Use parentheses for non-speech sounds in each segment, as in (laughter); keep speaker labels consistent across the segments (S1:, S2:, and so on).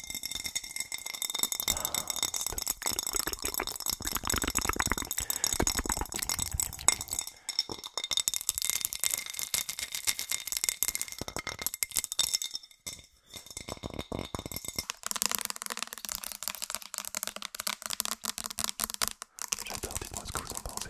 S1: J'adore, dites-moi ce que vous en pensez.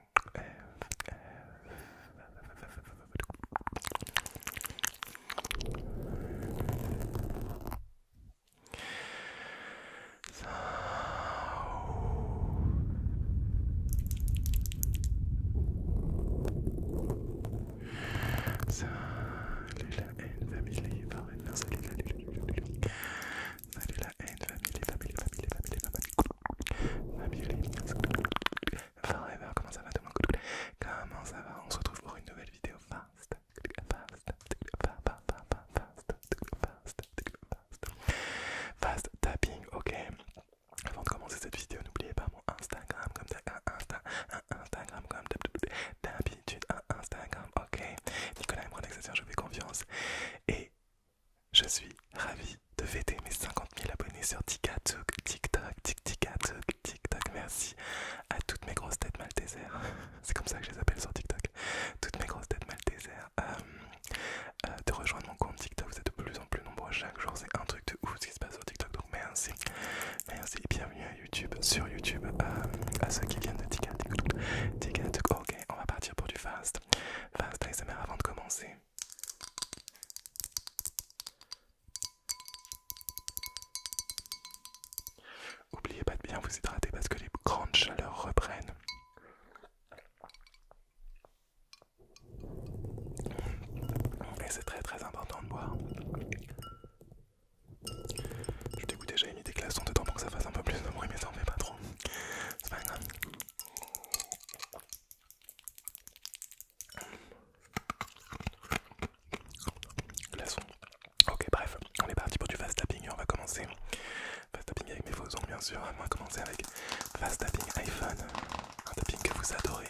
S1: F ça... Salut la haine, famille, salut la haine, famille, famille, famille, famille Ma Forever, bah, comment ça va tout le monde Comment ça va On se retrouve pour une nouvelle vidéo fast. Fast. Fast. Fast. Fast. Fast tapping, ok. Avant de commencer cette vidéo, n'oubliez pas mon Instagram comme un Instagram comme d'habitude, un Instagram, ok. Nicolas me prend je fais confiance. Et je suis ravi de fêter mes 50 000 abonnés sur TikTok, TikTok, TikTok, TikTok. Merci à toutes mes grosses têtes maltésères. (laughs) C'est comme ça que je les appelle sur TikTok. Toutes mes grosses têtes mal euh, euh, de rejoindre mon compte TikTok, vous êtes de plus en plus nombreux chaque jour. C'est un truc de ouf ce qui se passe sur TikTok. Donc merci. Merci et bienvenue à YouTube, sur YouTube, euh, à ceux qui viennent de TikTok. TikTok, ok, on va partir pour du fast. Fast ASMR avant de commencer. Oubliez pas de bien vous hydrater parce que les grandes chaleurs reprennent. Et c'est très très important de boire. Je dégoûte déjà mis des glaçons dedans pour que ça fasse un peu plus de bruit, mais ça en fait pas trop. C'est Ok, bref, on est parti pour du fast tapping on va commencer. Fast tapping avec mes faux bien sûr. On va commencer avec fast tapping iPhone. Un tapping que vous adorez.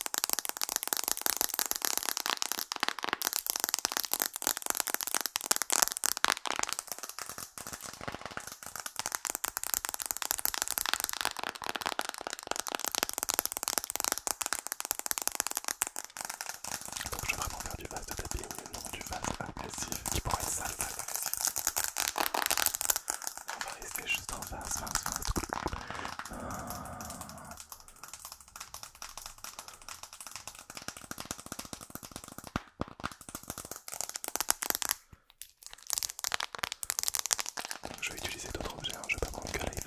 S1: Donc je vais vraiment faire du vase de papier, tapping, non du vase agressif qui pourrait être sale, agressif. On va rester juste en face. Hein, ah. je vais utiliser d'autres objets, hein. je vais pas prendre que que l'iPhone.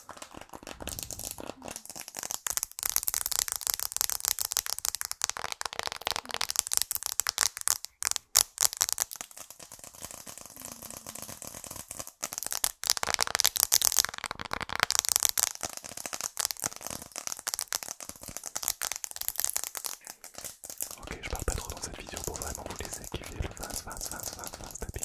S1: Ok, je parle pas trop dans cette vidéo pour vraiment vous laisser kiffer le face face face. fast, fast papy.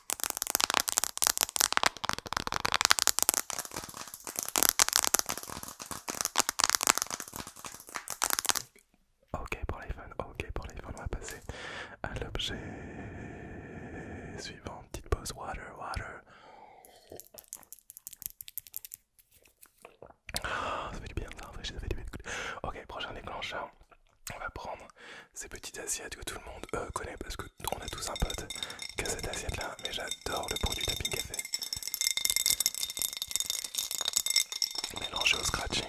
S1: Ok pour l'iPhone, ok pour l'iPhone, on va passer à l'objet suivant. Petite pause, water, water. Ah, ça fait du bien de ça fait du bien de... Ok, prochain déclencheur, on va prendre ces petites assiettes que tout le monde euh, connaît parce que on a tous un pote qu'à cette assiette là, mais j'adore le produit tapping café. Mélangé au scratching.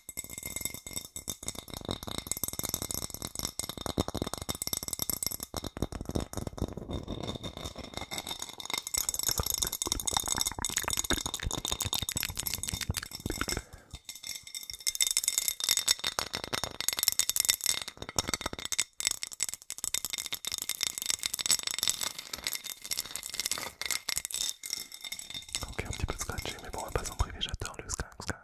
S1: Ok, un petit peu scratché, mais bon, on va pas s'en priver, j'adore le scratch.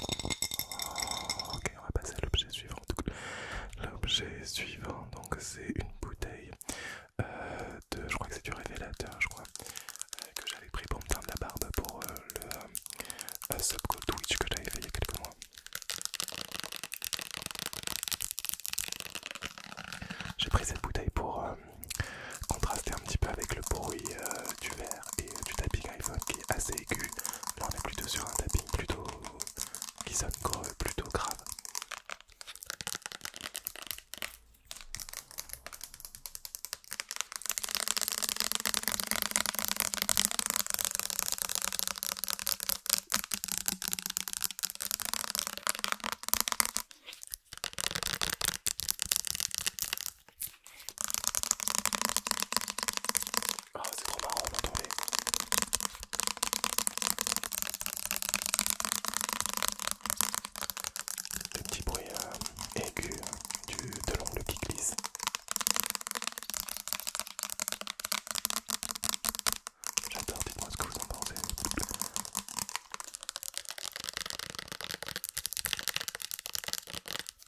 S1: Oh, ok, on va passer à l'objet suivant. L'objet suivant, donc c'est une bouteille euh, de, je crois que c'est du révélateur, je crois, euh, que j'avais pris pour me de la barbe pour euh, le euh, que j'avais fait il y a quelques mois. J'ai pris cette bouteille pour contraster un petit peu avec le bruit du verre et euh, du tapping iPhone qui est assez aigu. Là on est plutôt sur un tapping plutôt qui sonne plutôt grave. Ah, c'est trop marrant d'entendre. Le petit bruit euh, aigu du, de l'ongle qui glisse. J'adore, dites-moi ce que vous en pensez.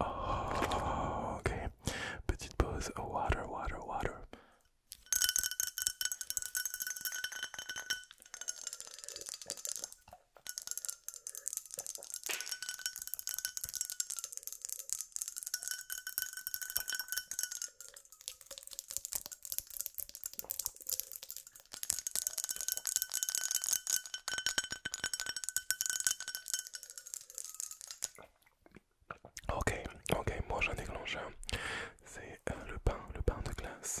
S1: Oh, okay. Petite pause. Water, water, water. Ok, ok, moi j'en déclenche un. C'est euh, le pain, le pain de glace.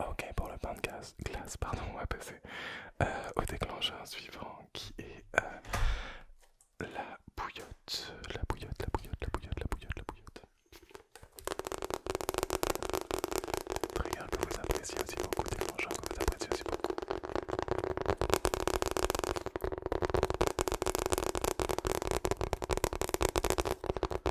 S1: Ok pour le pain de glace, pardon, on va passer euh, au déclencheur suivant qui est euh, la bouillotte, la bouillotte, la bouillotte, la bouillotte, la bouillotte, la bouillotte. Trigger que vous appréciez aussi beaucoup, déclencheur que vous appréciez aussi beaucoup.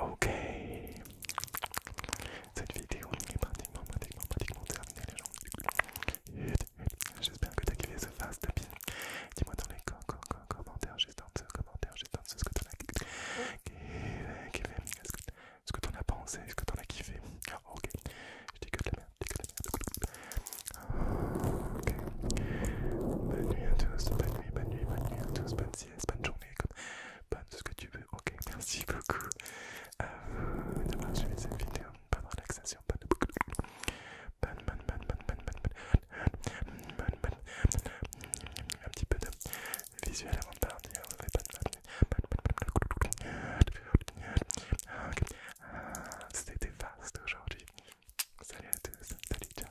S1: Ok. Cette vidéo est pratiquement, terminée les gens. J'espère que tu as kiffé ce fast Dis-moi dans les co co co commentaires, juste en dessous commentaire, juste ce, ce que en as kiffé. ce que, tu en as pensé ce que tu en as kiffé Ok. Je dis que de la merde, je dis Ok. Bonne nuit à tous, bonne nuit, bonne nuit, bonne nuit à tous, bonne bonne journée, comme bonne ce que tu veux. Ok, merci beaucoup d'avoir suivi cette vidéo. Bonne relaxation, bonne bonne, bonne, un petit peu de visuel avant de partir. C'était vaste aujourd'hui. Salut à tous, salut, ciao.